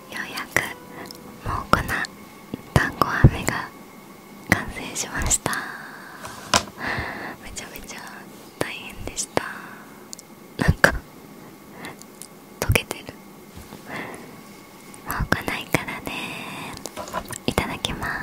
ようやくもうこな。粉団子飴が完成しましためちゃめちゃ大変でしたなんか溶けてるもう来ないからねいただきます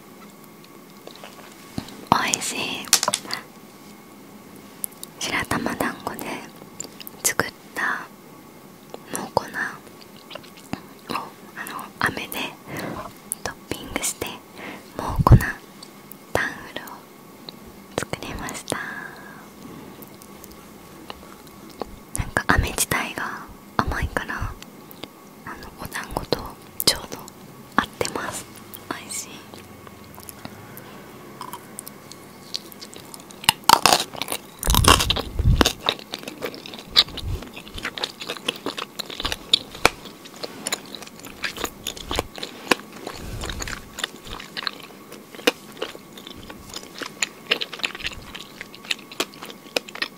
おいしい白玉団子で作ったもう粉。をあの飴でトッピングしてもう粉。タンフルを作りましたなんか飴自体が甘いからあのお団子とちょうど合ってます美味しいうん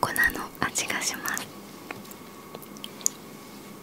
粉の味がします。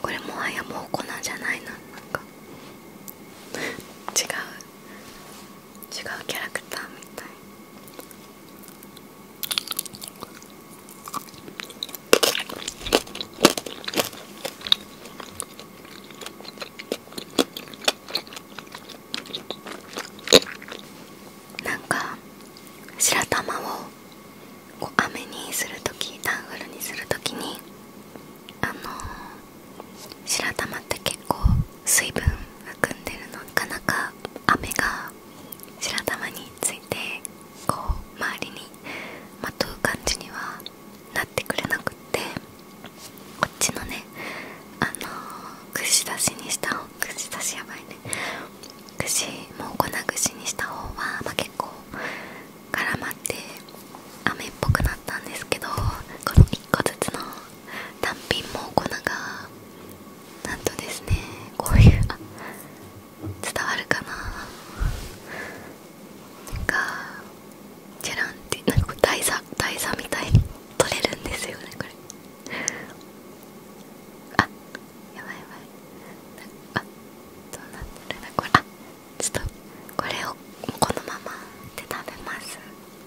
これもはやもう粉じゃないななんか違う違うキャラクターみたいなんか白玉をこう飴にするときダンフルにするときにあの白玉って結構水分含んでるのなかなか雨が白玉についてこう周りにまとう感じにはなってくれなくってこっちのねあの串刺しにした串刺しやばいね串もう粉串にした方は、ま結構絡まって雨っぽくなったんですけどこの1個ずつの単品も粉がなんとですねこういうあ伝わるかななんかジェランってなんか大佐、大佐みたいに取れるんですよねこれあやばいやばいあどうなってるんこれあちょっとこれをこのままで食べます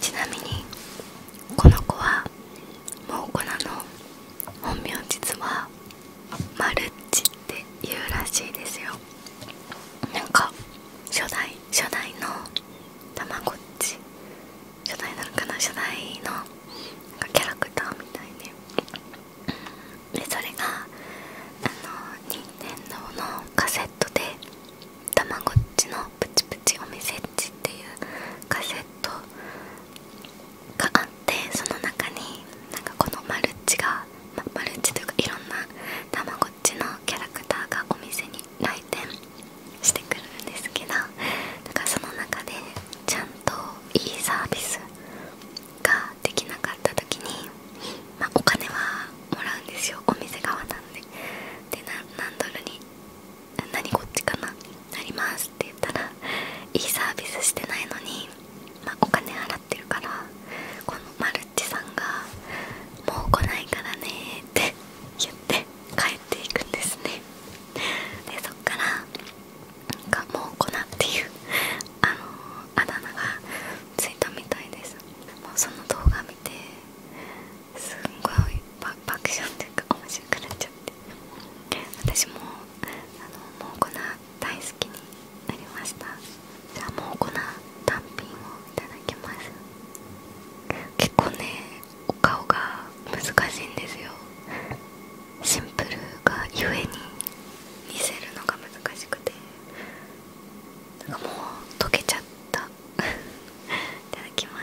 ちなみにこの子はもうコナの本名実はマルッチって言うらしいですよなんか初代初代のたまごっち初代なのかな初代のキャラクターみたいででそれがあの任天堂のカセットで「たまごっちのプチプチお店っち」っていうカセットがあってその中になんかこのマルチが、ま、マルチというかいろんなたまごっちのキャラクターがお店に来店してくるんですけどなんかその中でちゃんといいサービスができなかった時に、まお金はもらうんですよお店側なんでで何ドルに何こっちかななりますって言ったらいいサービスしてないのに、まお金払ってるからこのマルッチさんが「もう来ないからね」って言って帰っていくんですねでそっからなかもう粉っていうあのあだ名がついたみたいですもうその動画見てすんごい爆笑っていうか面白くなっちゃって私もあのもうこな大好きになりましたじゃあもうこな単品をいただきます結構ねお顔が難しいんですよシンプルがゆえに見せるのが難しくてなんかもう溶けちゃったいただきます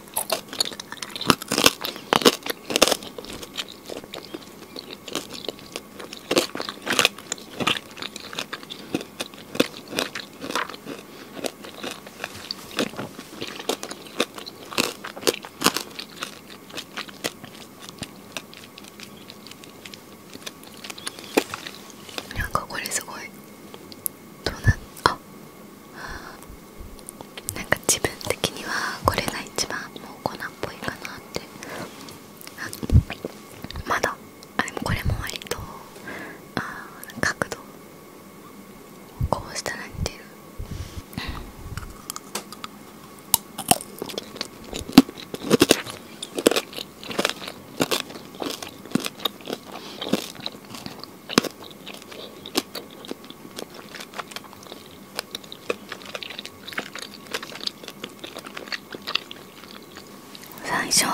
なんかこれすごいドーナあなんか自分的にはこれが一番もう粉っぽいかなってあまだあでこれも割とあ角度こうしたらっていう。うん。最初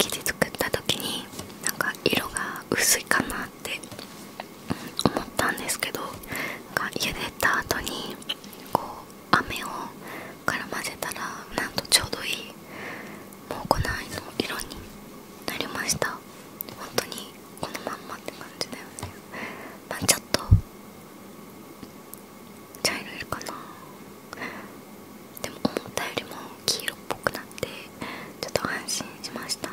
生地作った時になんか色が薄いかなって思ったんですけど茹でた後にこう飴をから混ぜたらなんとちょうどいいもうこ粉の色になりました本当にこのまんまって感じだよねまあちょっと茶色いかなでも思ったよりも黄色っぽくなってちょっと安心しました、うん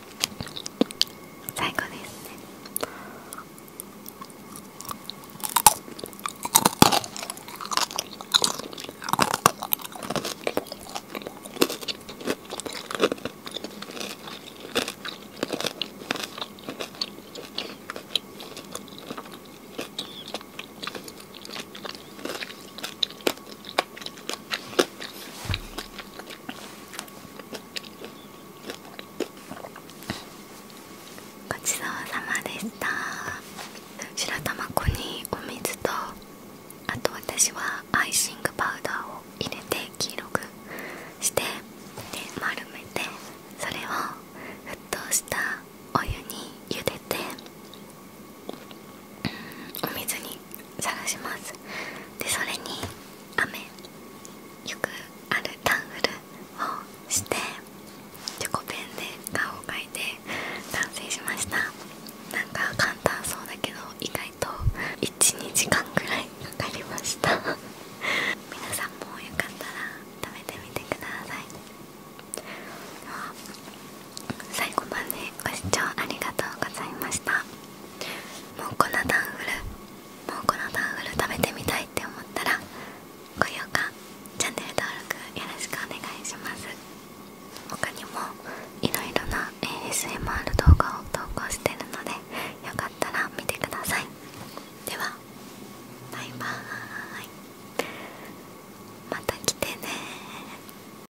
最高ですごちそうさまでした白玉粉にお水とあと私はアイシングパウダーを入れて黄色くして丸めてそれを沸騰したお湯に茹でてお水にさらしますでそれに雨よくあるタングルをしてチョコペンで顔を描いて完成しましたなんか簡単そうだけど意外と12時間くらいかかりました 皆さんもよかったら食べてみてください最後までご視聴ありがとうございましたもうこのダンフルもうこのダンフル食べてみたいって思ったら高評価チャンネル登録よろしくお願いします他にもいろいろな ASMR 動画を投稿してるのでよかったら見てくださいではバイバーイまた来てね